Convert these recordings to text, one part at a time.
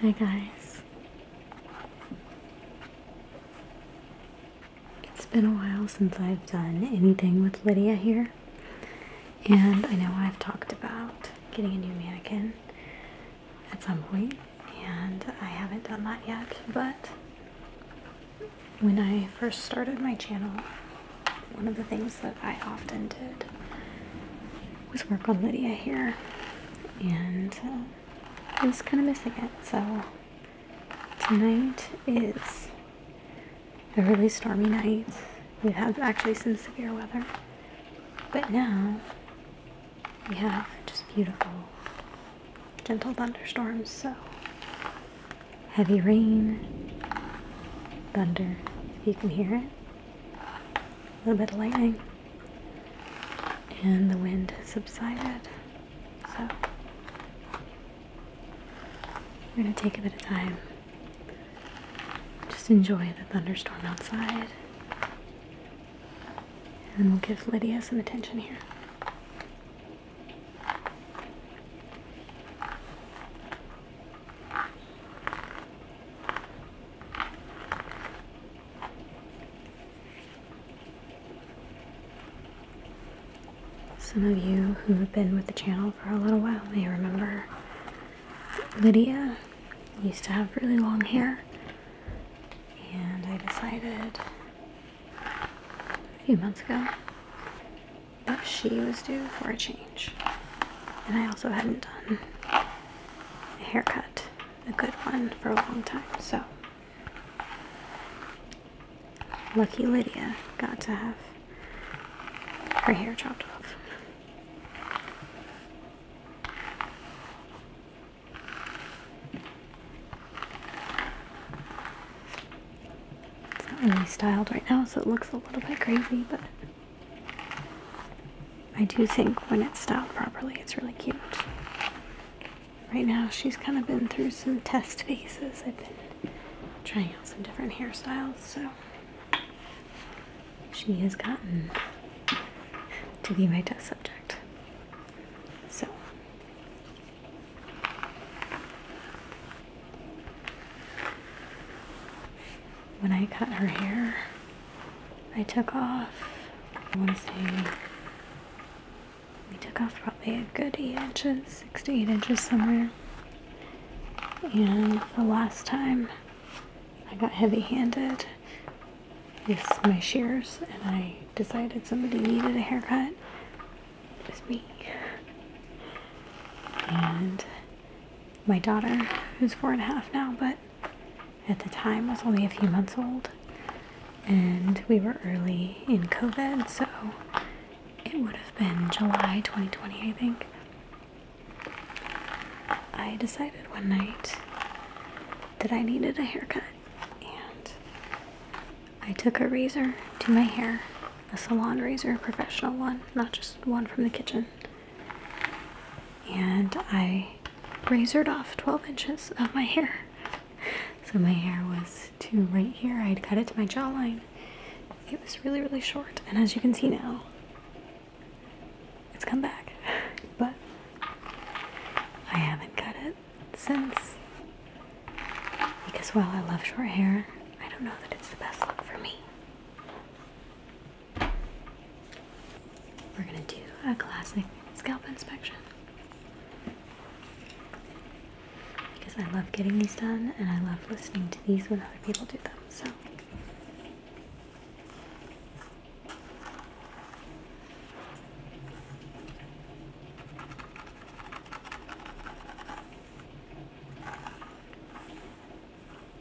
Hi guys. It's been a while since I've done anything with Lydia here. And I know I've talked about getting a new mannequin at some point, and I haven't done that yet, but when I first started my channel, one of the things that I often did was work on Lydia here, and uh, I was kind of missing it. So tonight is a really stormy night. We've had actually some severe weather, but now we have just beautiful, gentle thunderstorms. So heavy rain, thunder, if you can hear it a little bit of lightning, and the wind has subsided. So we're going to take a bit of time. Just enjoy the thunderstorm outside. And we'll give Lydia some attention here. Some of you who have been with the channel for a little while may remember Lydia used to have really long hair and I decided a few months ago that she was due for a change. And I also hadn't done a haircut, a good one, for a long time. So, lucky Lydia got to have her hair chopped off. It's not styled right now, so it looks a little bit crazy, but I do think when it's styled properly, it's really cute. Right now, she's kind of been through some test pieces. I've been trying out some different hairstyles, so she has gotten to be my test subject. So, when I cut her hair, I took off, I want to we took off probably a good inches, 6 to 8 inches somewhere. And the last time I got heavy handed with my shears and I decided somebody needed a haircut, it was me. And my daughter, who's four and a half now, but at the time was only a few months old. And we were early in COVID, so it would have been July 2020, I think. I decided one night that I needed a haircut, and I took a razor to my hair, a salon razor, a professional one, not just one from the kitchen and I razored off 12 inches of my hair. So my hair was to right here. I would cut it to my jawline. It was really, really short. And as you can see now, it's come back. But I haven't cut it since. Because while I love short hair, I don't know that it's the best look for me. We're gonna do a classic scalp inspection because I love getting these done and I love listening to these when other people do them. So.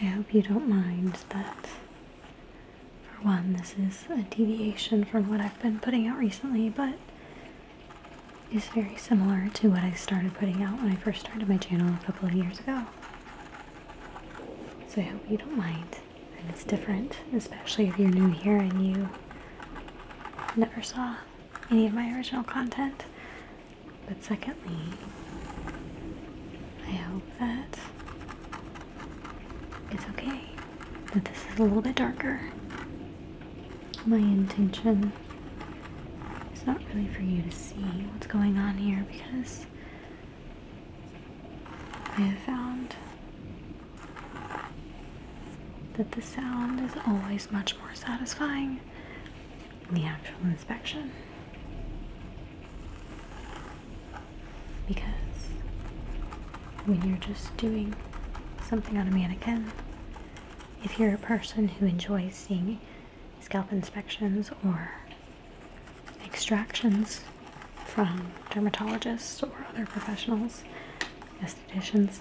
I hope you don't mind that. For one, this is a deviation from what I've been putting out recently, but is very similar to what I started putting out when I first started my channel a couple of years ago. So I hope you don't mind and it's different, especially if you're new here and you never saw any of my original content. But secondly, I hope that it's okay that this is a little bit darker. My intention is not really for you to see what's going on here because I have found that the sound is always much more satisfying than the actual inspection. Because when you're just doing something on a mannequin, if you're a person who enjoys seeing scalp inspections or extractions, from dermatologists or other professionals, estheticians.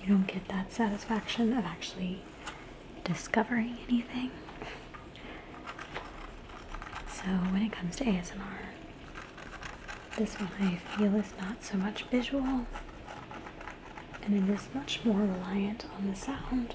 You don't get that satisfaction of actually discovering anything. So, when it comes to ASMR, this one I feel is not so much visual and it is much more reliant on the sound.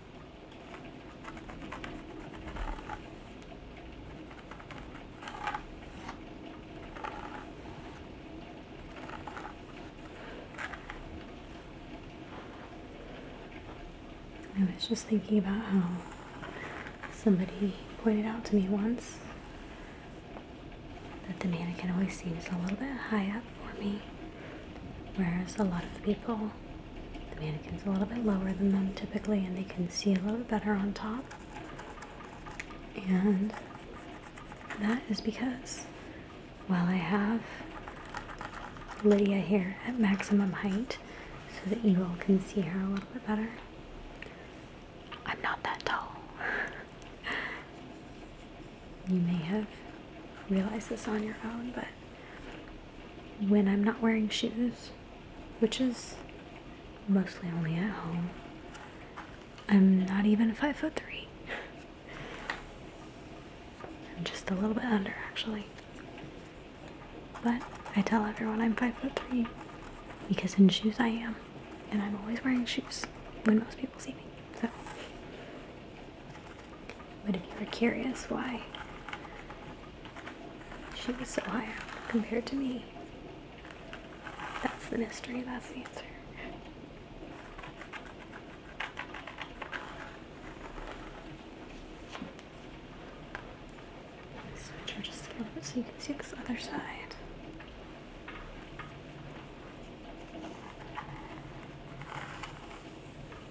I was just thinking about how somebody pointed out to me once that the mannequin always seems a little bit high up for me. Whereas a lot of people, the mannequin's a little bit lower than them typically, and they can see a little bit better on top. And that is because while I have Lydia here at maximum height so that you all can see her a little bit better, I'm not that tall. you may have realized this on your own, but when I'm not wearing shoes, which is mostly only at home, I'm not even five foot three. I'm just a little bit under actually. But I tell everyone I'm five foot three because in shoes I am. And I'm always wearing shoes when most people see me. So but if you were curious why she was so high compared to me, that's the mystery, that's the answer. Switch just a little bit so you can see this other side.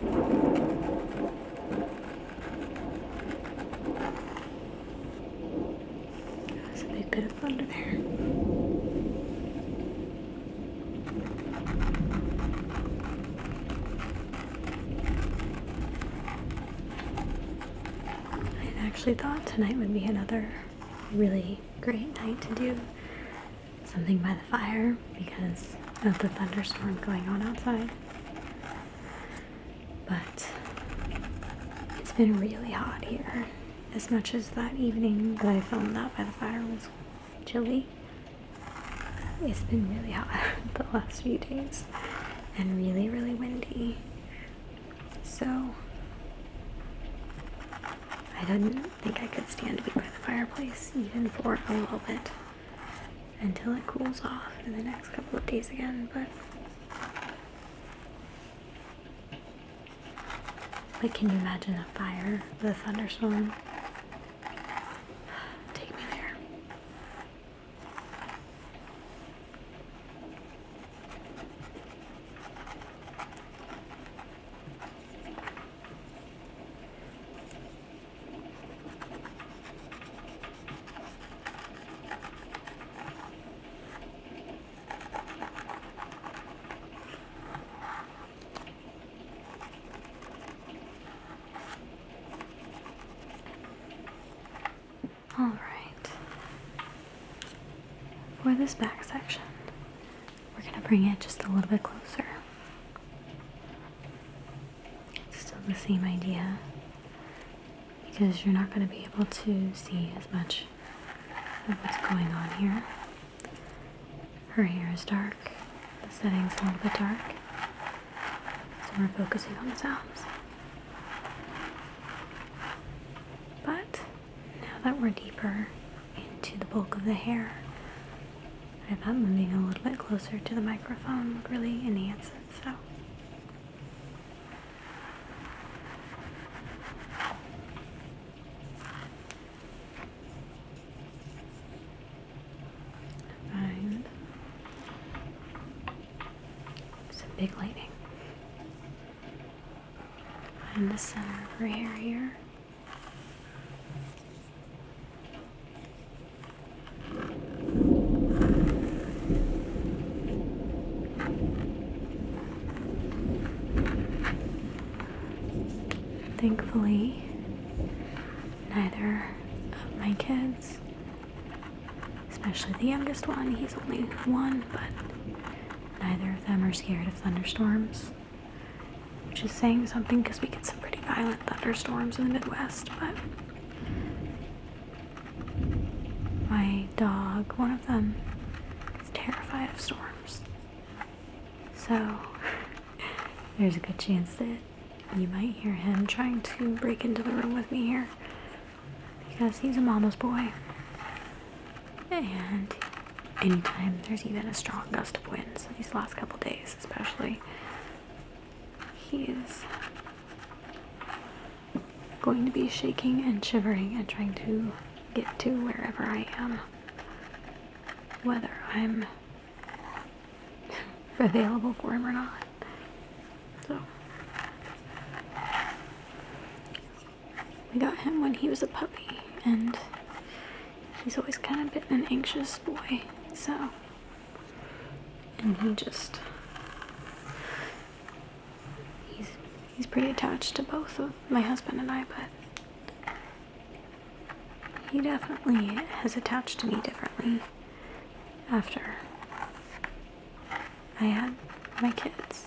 That's a big bit of thunder there. I actually thought tonight would be another really great night to do something by the fire because of the thunderstorm going on outside. But it's been really hot here. As much as that evening that I filmed that by the fire was chilly, it's been really hot the last few days and really, really windy. So I do not think I could stand to be by the fireplace even for a little bit until it cools off in the next couple of days again, but Like, can you imagine a fire with a thunderstorm? Take me there. All right. For this back section, we're going to bring it just a little bit closer. It's still the same idea because you're not going to be able to see as much of what's going on here. Her hair is dark, the setting's a little bit dark, so we're focusing on the sounds. But now that we're deeper into the bulk of the hair. if I'm moving a little bit closer to the microphone would really enhance it, so. Find some big lighting. Find the center of her hair here. Thankfully, neither of my kids, especially the youngest one, he's only one, but neither of them are scared of thunderstorms. Which is saying something because we get some pretty violent thunderstorms in the Midwest, but my dog, one of them, is terrified of storms. So there's a good chance that you might hear him trying to break into the room with me here because he's a mama's boy and anytime there's even a strong gust of wind, so these last couple days especially, he's going to be shaking and shivering and trying to get to wherever I am. Whether I'm available for him or not. So we got him when he was a puppy and he's always kind of been an anxious boy, so. And he just. He's, he's pretty attached to both of my husband and I, but. He definitely has attached to me differently after I had my kids.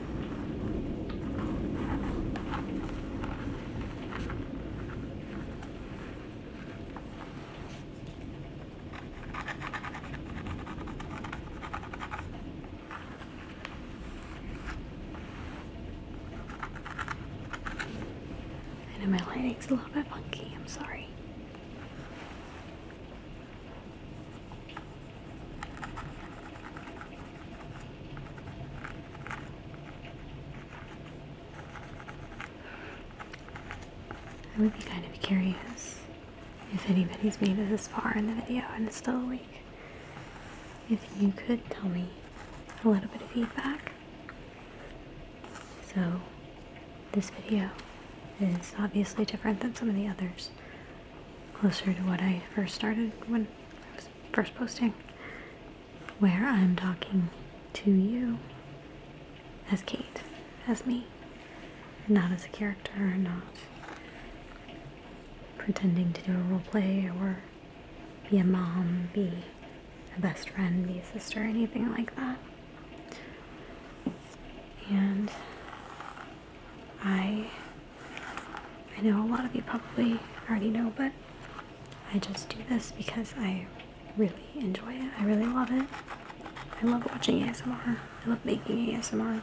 I know my lighting's a little bit funky, I'm sorry. I would be kind of curious if anybody's made this far in the video and is still awake. If you could tell me a little bit of feedback. So, this video is obviously different than some of the others closer to what I first started when I was first posting, where I'm talking to you as Kate, as me, not as a character, not pretending to do a role play or be a mom, be a best friend, be a sister, anything like that. And I I know a lot of you probably already know, but I just do this because I really enjoy it. I really love it. I love watching ASMR. I love making ASMR.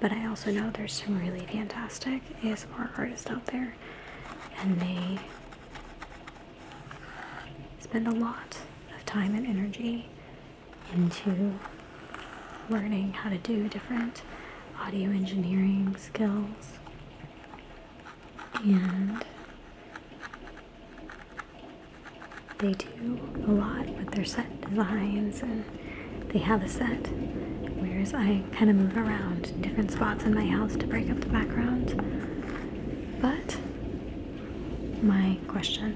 But I also know there's some really fantastic ASMR artists out there and they spend a lot of time and energy into learning how to do different audio engineering skills and they do a lot with their set designs and they have a set whereas I kind of move around different spots in my house to break up the background but my question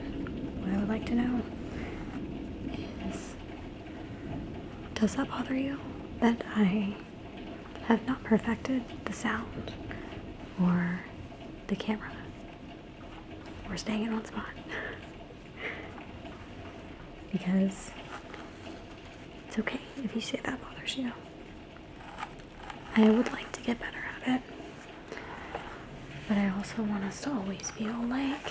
what I would like to know is does that bother you? That I have not perfected the sound or the camera We're staying in one spot? because it's okay if you say that bothers you. I would like to get better at it, but I also want us to always feel like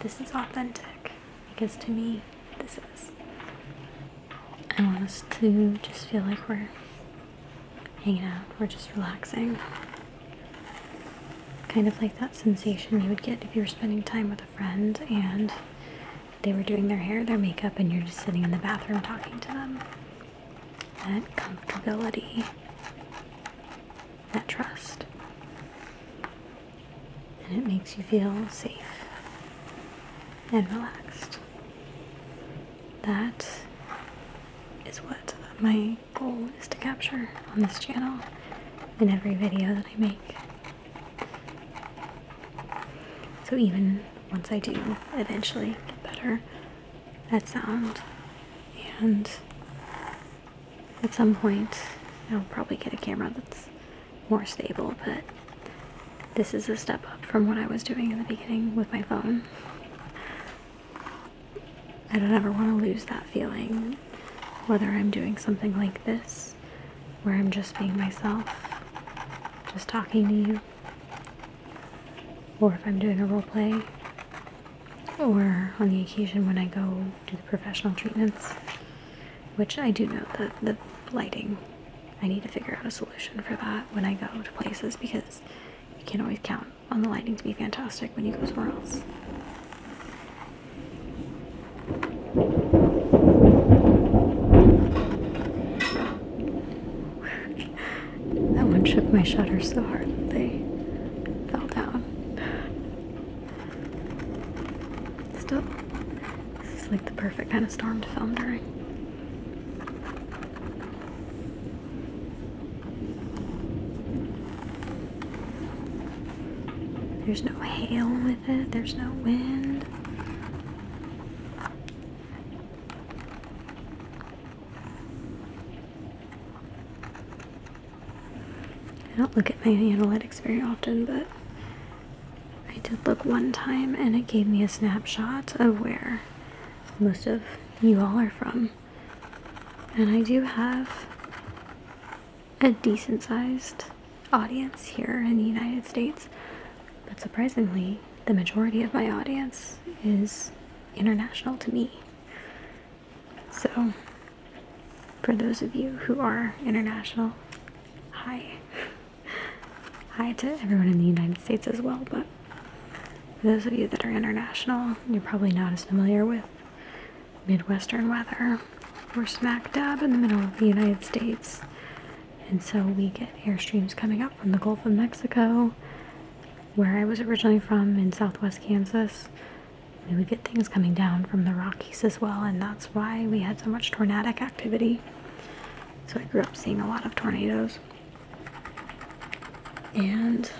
this is authentic because to me, this is. I want us to just feel like we're hanging out, we're just relaxing. Kind of like that sensation you would get if you were spending time with a friend and they were doing their hair, their makeup, and you're just sitting in the bathroom talking to them. That comfortability that trust. And it makes you feel safe and relaxed. That is what my goal is to capture on this channel in every video that I make. So even once I do eventually get better that sound and at some point. I'll probably get a camera that's more stable, but this is a step up from what I was doing in the beginning with my phone. I don't ever want to lose that feeling, whether I'm doing something like this, where I'm just being myself, just talking to you, or if I'm doing a role play or on the occasion when I go do the professional treatments, which I do know that the lighting, I need to figure out a solution for that when I go to places because you can't always count on the lighting to be fantastic when you go somewhere else. that one shook my shutter so hard they fell down. Still, this is like the perfect kind of storm to film during. There's no hail with it, there's no wind. I don't look at my analytics very often, but I did look one time and it gave me a snapshot of where most of you all are from. And I do have a decent sized audience here in the United States, but surprisingly, the majority of my audience is international to me. So, for those of you who are international, hi. hi to everyone in the United States as well, but those of you that are international, you're probably not as familiar with Midwestern weather. We're smack dab in the middle of the United States, and so we get air streams coming up from the Gulf of Mexico, where I was originally from in southwest Kansas we would get things coming down from the Rockies as well, and that's why we had so much tornadic activity. So I grew up seeing a lot of tornadoes. And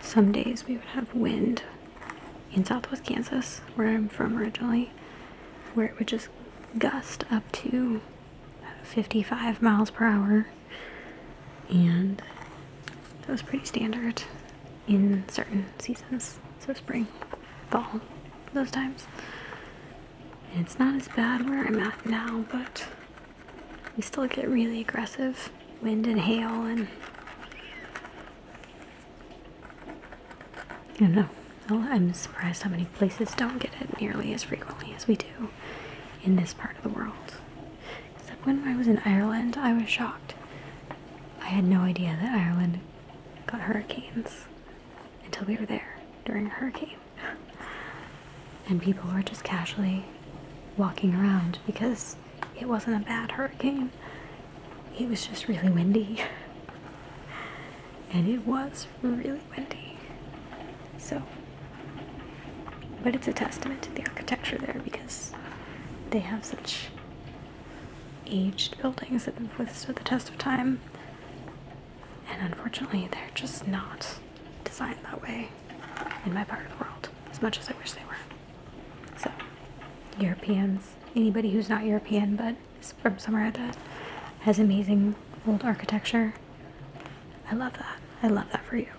some days we would have wind in southwest Kansas, where I'm from originally, where it would just gust up to 55 miles per hour and that was pretty standard in certain seasons. So spring, fall, those times. And it's not as bad where I'm at now, but we still get really aggressive wind and hail and I know. I'm surprised how many places don't get it nearly as frequently as we do in this part of the world. Except when I was in Ireland, I was shocked. I had no idea that Ireland got hurricanes until we were there during a hurricane. and people were just casually walking around because it wasn't a bad hurricane. It was just really windy. and it was really windy. So but it's a testament to the architecture there because they have such aged buildings that have withstood the test of time. And unfortunately, they're just not designed that way in my part of the world, as much as I wish they were. So, Europeans, anybody who's not European but is from somewhere that has amazing old architecture, I love that. I love that for you.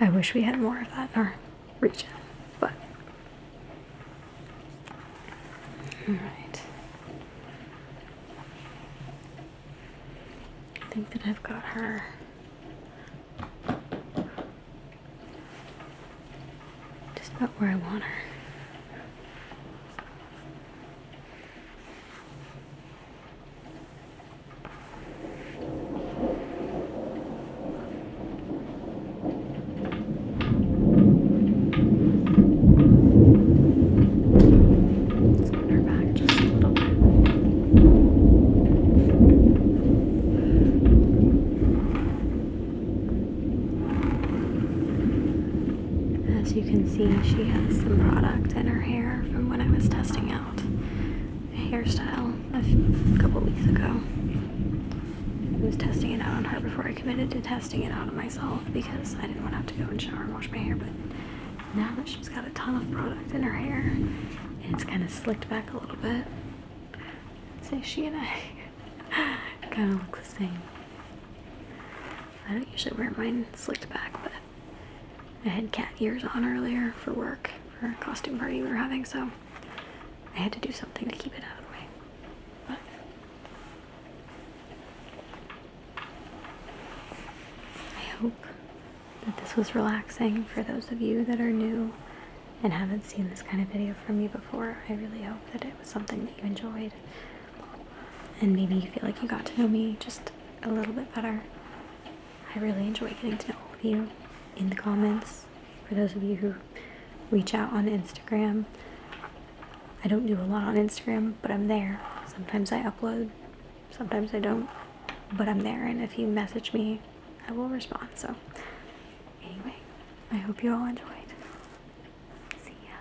I wish we had more of that in our region, but. All right. I think that I've got her. Just about where I want her. Let's her back just a little As you can see, she has some product in her hair from when I was testing out hairstyle a couple weeks ago. I was testing it out on her before I committed to testing it out on myself because I didn't want to have to go and shower and wash my hair. But now that she's got a ton of product in her hair it's kind of slicked back a little bit, i say she and I kind of look the same. I don't usually wear mine slicked back, but I had cat ears on earlier for work for a costume party we were having, so I had to do something to keep it out of the way. But I hope that this was relaxing for those of you that are new and haven't seen this kind of video from me before. I really hope that it was something that you enjoyed and maybe you feel like you got to know me just a little bit better. I really enjoy getting to know all of you in the comments. For those of you who reach out on Instagram, I don't do a lot on Instagram, but I'm there. Sometimes I upload, sometimes I don't, but I'm there. And if you message me, I will respond. So, anyway, I hope you all enjoyed. See ya.